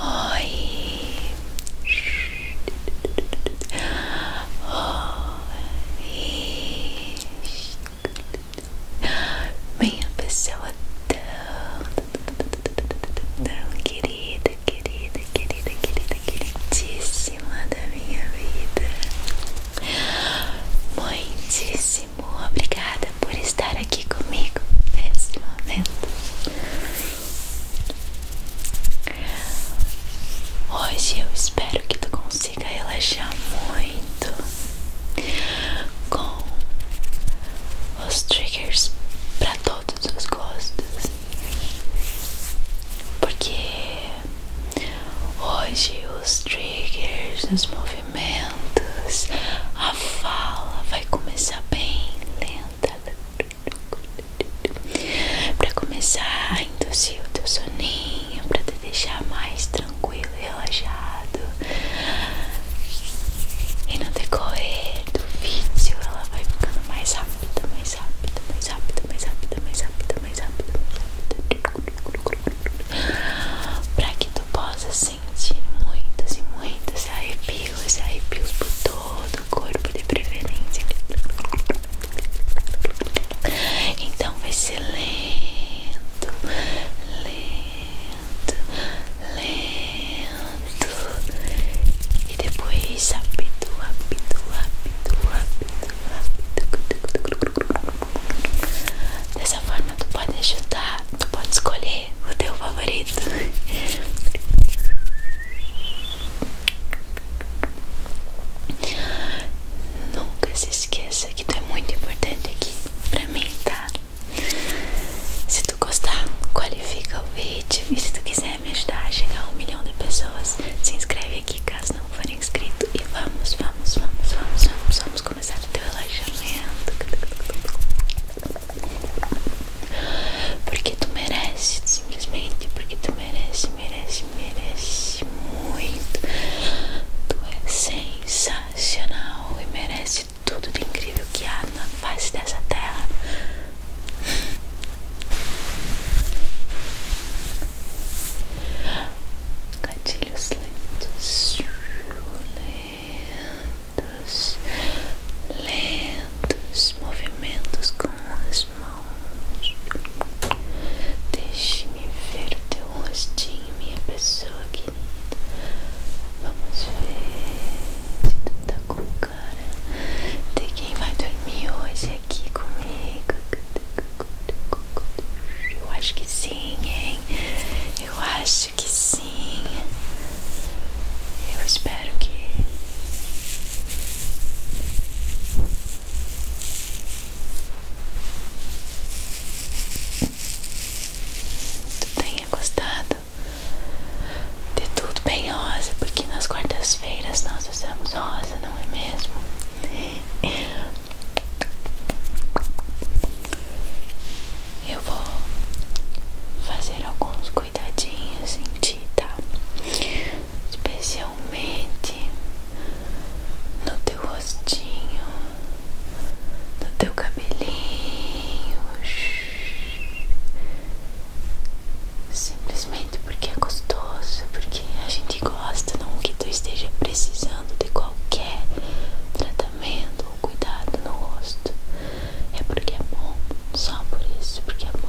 Oi. Oi. Minha pessoa tão, querida, querida, querida, querida, queridíssima da minha vida. Muitíssimo obrigada por estar aqui comigo nesse momento. Hoje eu espero que tu consiga relaxar muito com os triggers para todos os gostos, porque hoje os triggers, os movimentos movimentos, a fala vai começar bem lenta para começar a induzir o teu soninho, para te deixar mais tranquilo e relaxado. E no decorrer do vídeo ela vai ficando mais rápida, mais rápida, mais rápida, mais rápida, mais rápida, mais rápida, mais rápida, para que tu possa sentir muitas e muitas arrepios, arrepios por todo o corpo de preferência. Então vai ser lento, lento, lento. E depois rápido, rápido, rápido, rápido, rápido. Dessa forma tu pode chutar, tu pode escolher o teu favorito. Nunca se esqueça que tu é muito importante aqui pra mim, tá? Se tu gostar, qualifica o vídeo e se tu quiser me ajudar a chegar a um milhão de pessoas, se inscreve aqui caso não for inscrito e vamos, vamos, vamos, vamos, vamos, vamos começar o teu relaxamento Porque tu merece, simplesmente porque tu merece, merece, merece muito Tu é sensacional e merece tudo de incrível que há na face dessa terra Gatilhos lentos, lentos, lentos, lentos movimentos com as mãos. Deixe-me ver o teu rostinho, minha pessoa querida. Vamos ver se tu tá com cara de quem vai dormir hoje aqui comigo. Eu acho que sim, hein? Eu acho que sim. Eu espero que tu tenha gostado de tudo bem rosa, porque nas quartas-feiras nós usamos rosa, não é mesmo? Eu vou fazer alguns cuidadinhos em ti, tá? Especialmente no teu rostinho, no teu cabelinho. Simplesmente porque é gostoso, porque a gente gosta, não que tu esteja precisando de qualquer tratamento tratamento cuidado no rosto. É porque é bom, só por isso, porque é bom.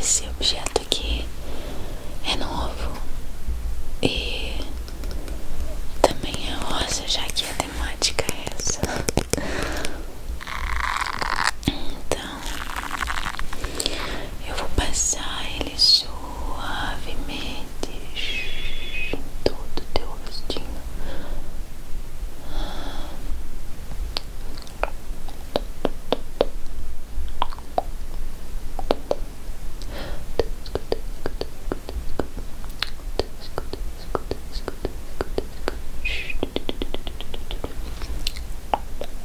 Esse objeto aqui é novo e também é rosa, já que a temática é essa. Então, eu vou passar ele suavemente em todo teu rostinho.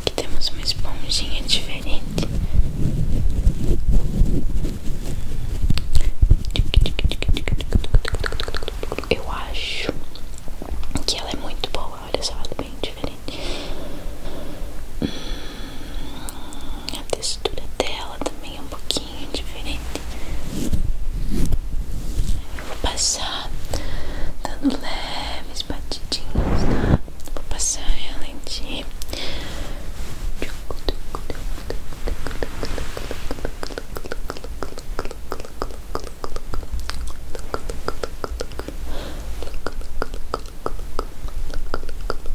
Aqui temos uma esponjinha diferente. Eu acho que ela é muito boa. Olha só, ela é bem diferente. Hum, a textura dela também é um pouquinho diferente. Eu vou passar dando leves batidinhas, tá? Vou passar ela em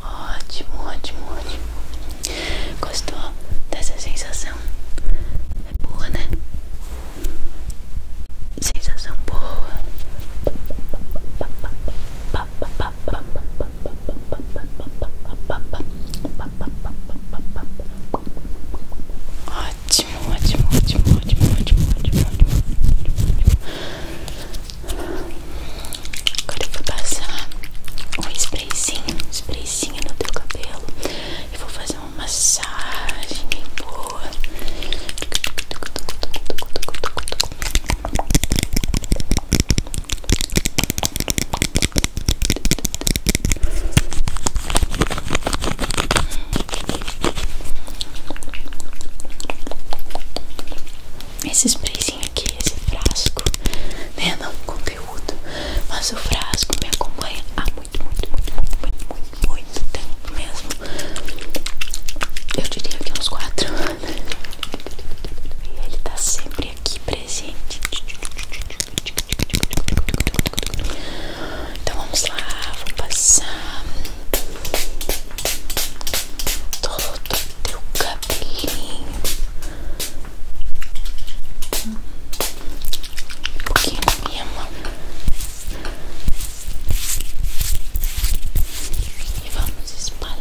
Ótimo, ótimo, ótimo. Gostou dessa sensação? É boa, né? Sensação boa. Ótimo, ótimo, ótimo, ótimo, ótimo, ótimo, ótimo. Agora eu vou passar um sprayzinho, um sprayzinho no teu cabelo. e vou fazer uma massagem boa. Esse sprayzinho aqui, esse frasco, né? Não conteúdo, mas o frasco me acompanha há muito, muito, muito, muito, muito, tempo mesmo. Eu diria que uns quatro E ele tá sempre abrir aqui presente. Então vamos lá, vou passar todo o teu cabelinho. Um pouquinho na minha mão. E vamos espalhar.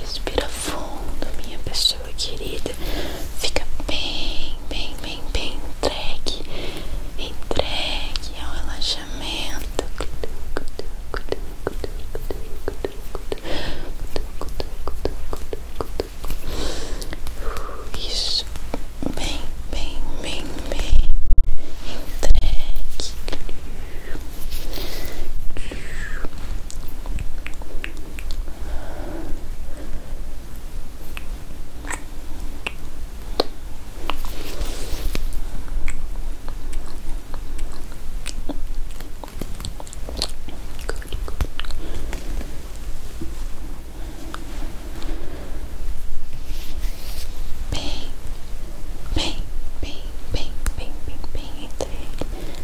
Respira fundo, minha pessoa querida. Fica bem, bem, bem, bem entregue. Entregue ao relaxamento. Isso. Deus bem, bem, bem, bem entregue. Good, good. Bem, bem, bem, bem, bem, bem, bem entregue.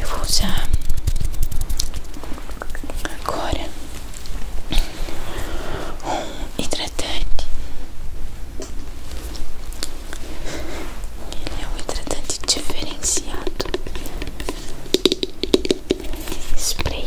Eu vou usar agora um hidratante ele é um hidratante diferenciado. Spray.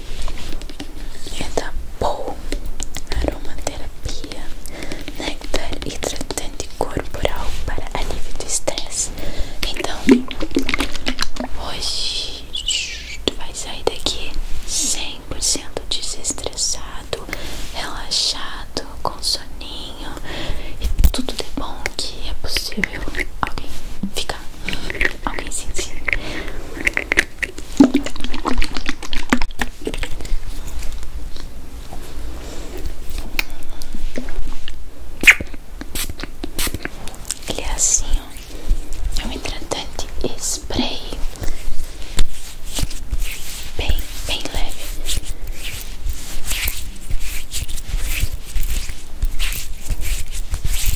é da Pou Aromaterapia Néctar hidratante corporal para alívio do estresse Então, hoje tu vai sair daqui 100% desestressado, relaxado, com soninho E tudo de bom que é possível alguém ficar, alguém sim ele é assim, ó. É um hidratante spray. Bem, bem leve.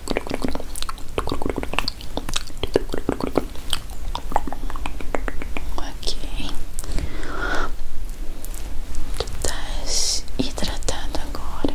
Ok, tu estás hidratado agora.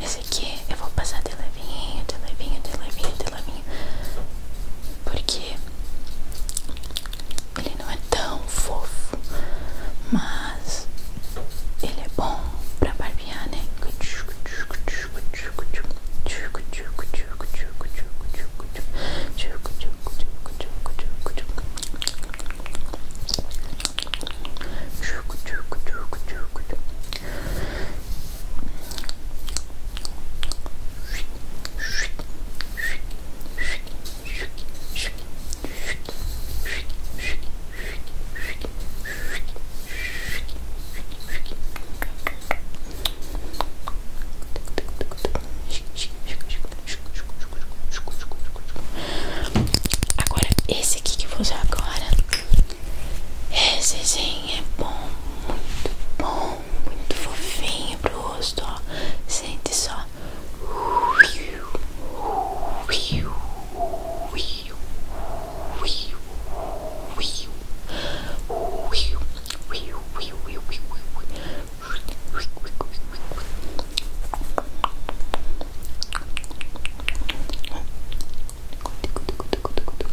Esse aqui eu vou passar de levinho, de levinho, de levinho, de levinho. Porque ele não é tão fofo, mas ele é bom pra barbear, né? Agora, esse aqui que eu vou usar agora, esse sim é bom, muito bom muito fofinho pro rosto, ó. Sente só.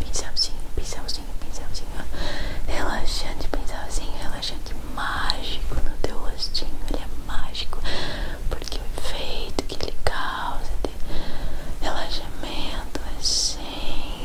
Pincelzinho, pincelzinho, pincelzinho Relaxante, pincelzinho Relaxante mágico no teu rostinho Ele é mágico Porque o efeito que ele causa De relaxamento É sensacional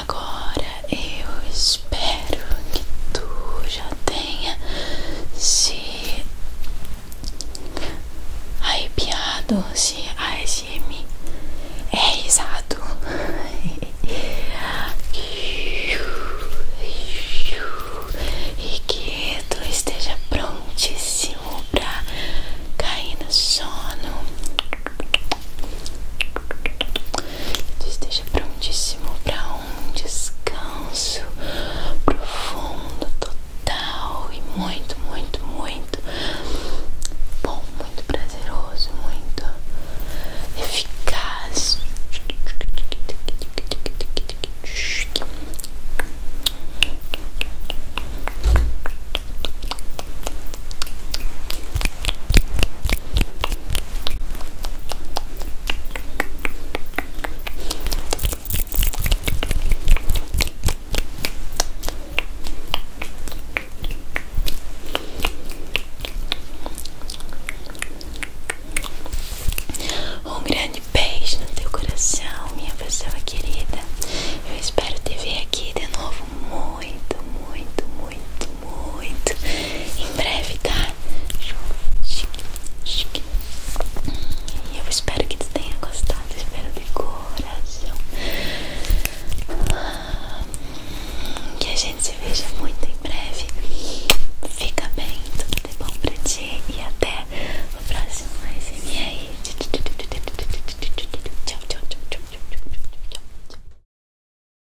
Agora eu espero que tu já tenha se arrepiado, se ASM é risado. E que tu esteja prontíssimo pra cair no sono. Que tu esteja prontíssimo pra um descanso profundo, total e muito, muito, muito bom, muito prazeroso, muito eficaz. Um grande beijo no teu coração, minha pessoa querida. Eu espero te ver aqui de novo muito, muito, muito muito, muito em breve, tá? E eu espero que tu tenha gostado, espero de coração. Que a gente se veja muito em breve. Fica bem, tudo de bom pra ti e até o próximo ASMR. Tchau, tchau, tchau, tchau, tchau, tchau, tchau.